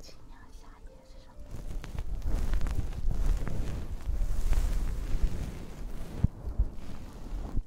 清凉夏夜是什么？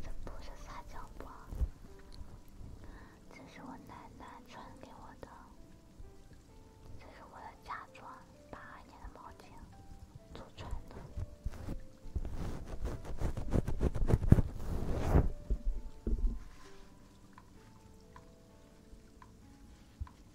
这不是撒娇不？这是我奶奶传给我的，这是我的嫁妆，八年的毛巾，祖传的。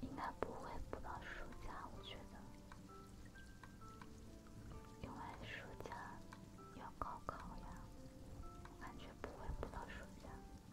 应该不会不到暑假，我觉得，因为暑假要高考呀，我感觉不会不到暑假。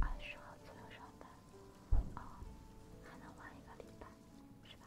二十号左右上班，哦，还能晚一个礼拜，是吧？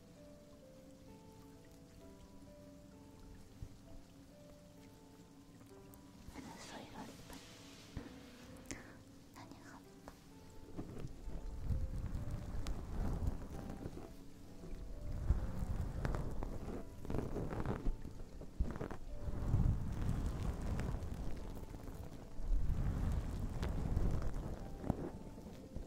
それがいっ何があった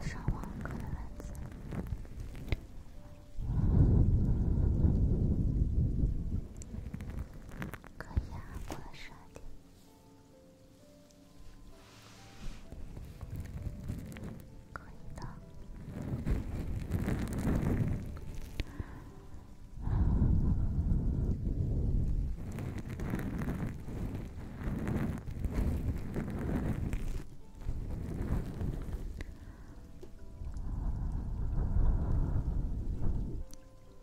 上网课的男子。可以啊，过了十二点。可以的。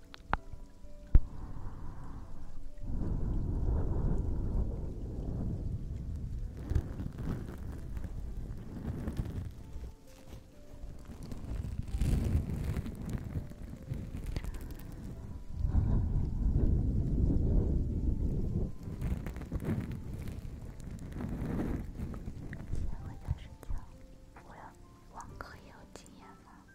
先回家睡我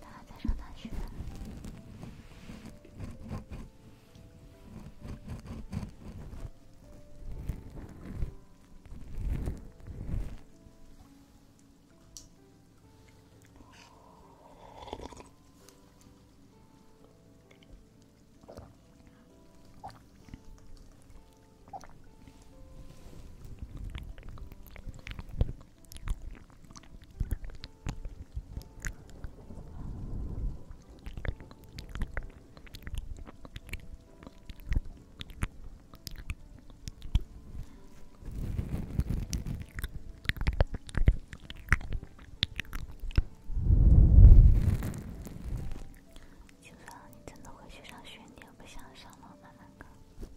他还在上大学。就算你真的回去上学，你也不想上楼慢慢考？我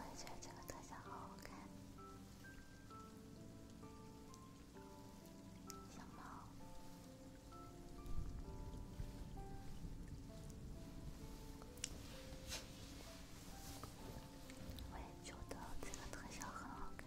也觉得这个特效好好看。小猫，我也觉得这个特效很好看。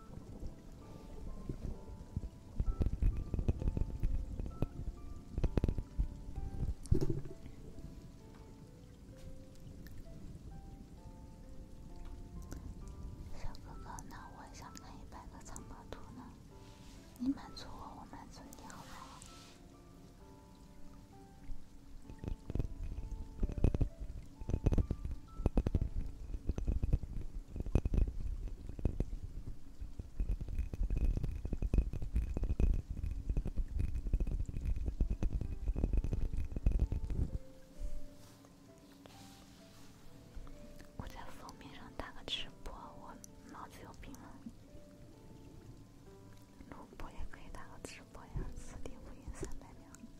小哥哥，那我也想看一百个藏宝图呢。你满足我，我满足你，好不好？我在封面上打个直播，我脑子有病吗？录播也可以打个直播呀，四点五元三百秒。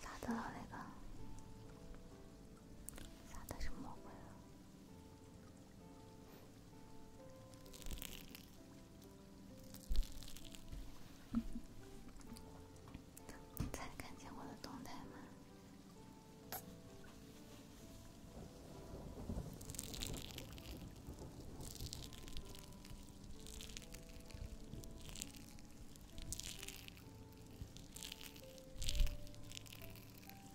咋的了那个？咋的是魔鬼了？才看见我的动态吗？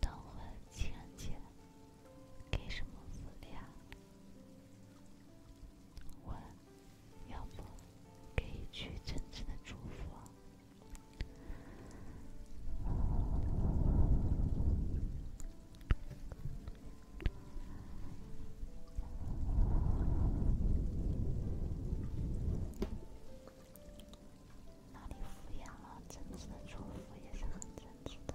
等会情人节给什么福利啊？我要不给一句真挚的祝福。哪里敷衍了？真挚的祝福也是很真挚的。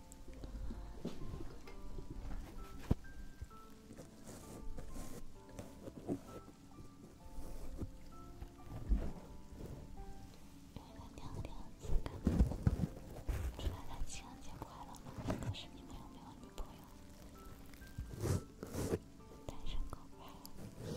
为了娘娘节，祝大家情人节快乐！可是你们有没有女朋友？单身狗呗。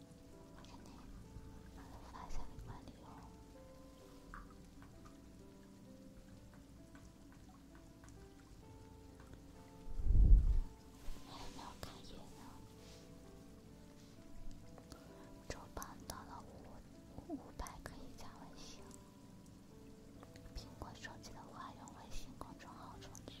麻烦发一下管理哦。还有没有开业呢？周榜到了五五百可以加微信。苹果手机的话用微信公众号充值。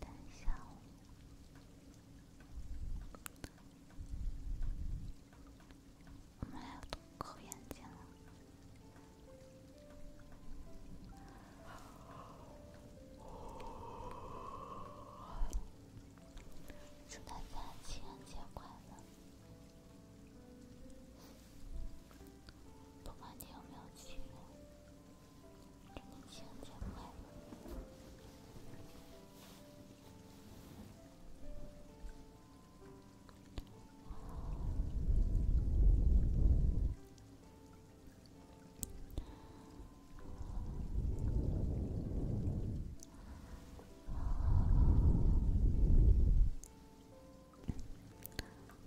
等一下，我们俩要都扣眼睛了。祝大家情人节快乐！不管你有没有情人，真的情人节快乐。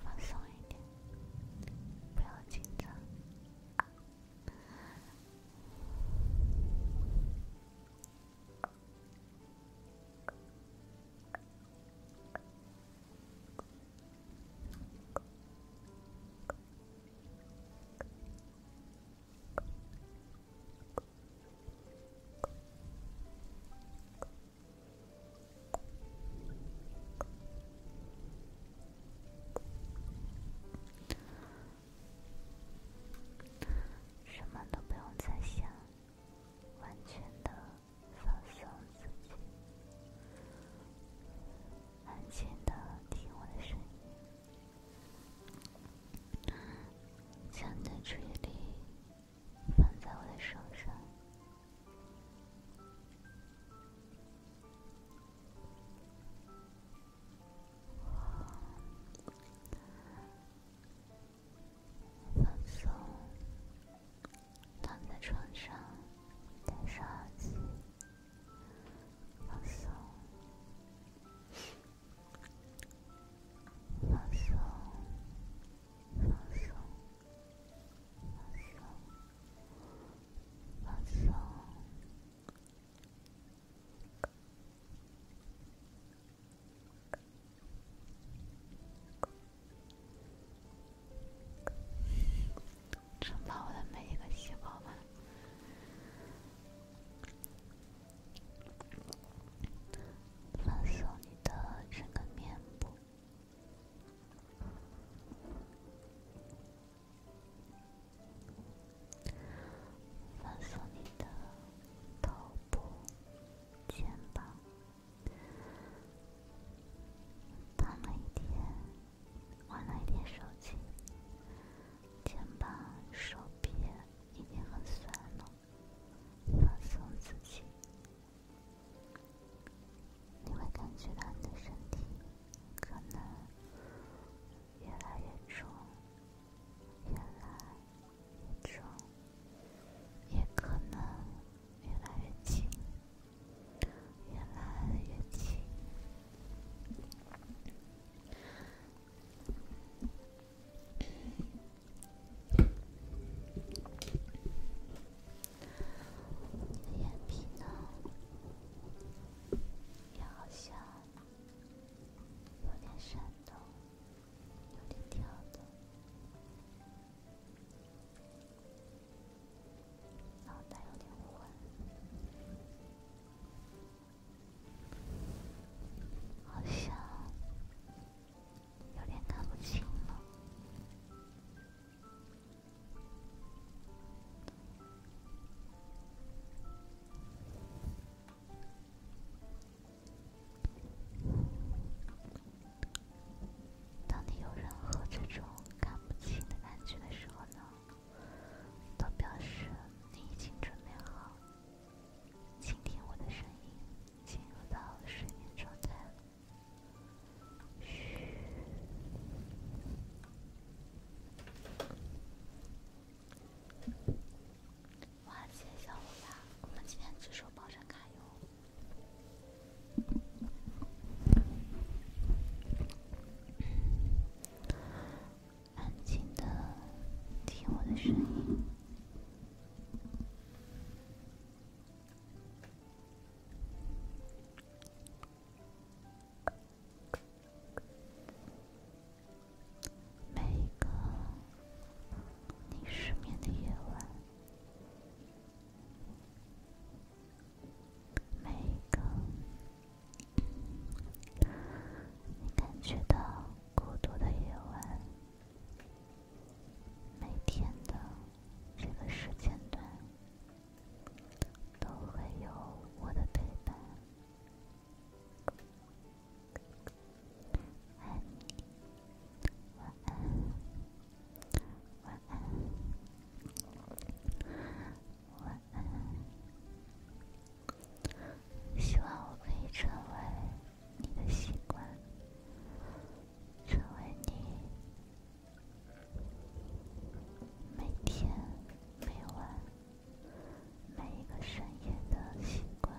放松一点，不要紧张。什么都不用再想，完全的放松自己，安静的听我的声音，将注意力。放在我的手上，放松，躺在床上，戴上耳机，放松，放松。放松，放松，放松，承包我的每一个细胞吧。放松你的整个面部，放松你的头部、肩膀。躺了一天，玩了一天手机，肩膀、手臂一定很酸了。放松自己。你会感觉到你的身体可能越来越重，越来越重，也可能越来越轻，越来越轻。你的眼皮呢？也好像有点闪动，有点跳动，脑袋有点昏，好像。有点看不清了。当你有任何这种看不清的感觉的时候呢，都表示你已经准备好倾听我的声音，进入到睡眠状态哇，谢谢小乌鸦，我们今天只收保证卡油。安静的听我的声音。每一个你失眠的夜晚，每一个你感觉到孤独的夜晚。每天的这个时间段，都会有我的陪伴。爱你，晚安，晚安，晚安。希望我可以成为你的习惯。成为你每天每晚每一个深夜的习惯。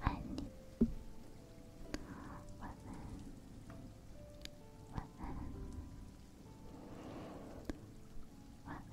爱你，晚安，晚安，晚安。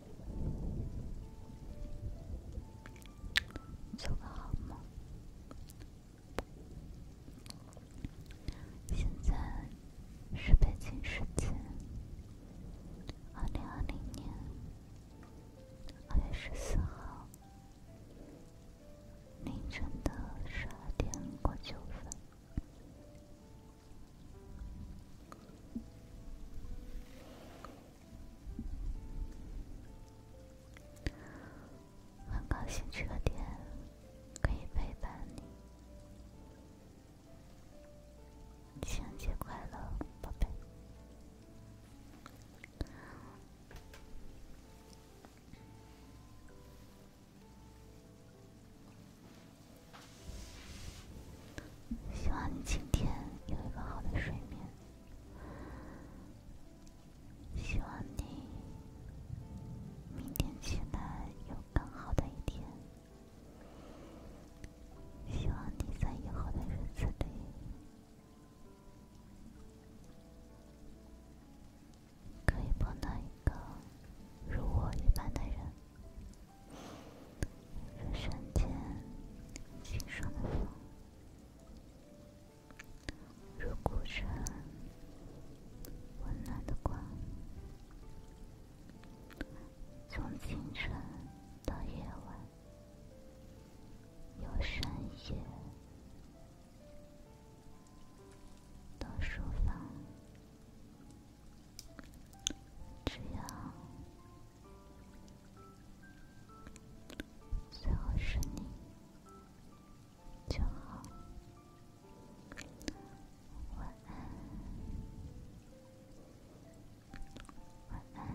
做个好梦。现在是北京时间二零二零年二月十四号凌晨的十二点过九分。很高兴这个点可以陪伴你。情人节快乐，宝贝！希望你今天有一个好的睡眠。希望你明天起来有更好的一天。希望你在以后的日子里可以碰到一个如我一般的人，如瞬间轻柔的风。如古城温暖的光，从清晨到夜晚，由深夜到书房，只要。最后是你，就好。晚安，晚安，晚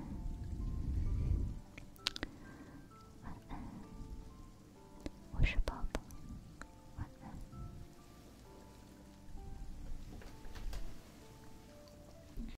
安。我是宝宝，晚安。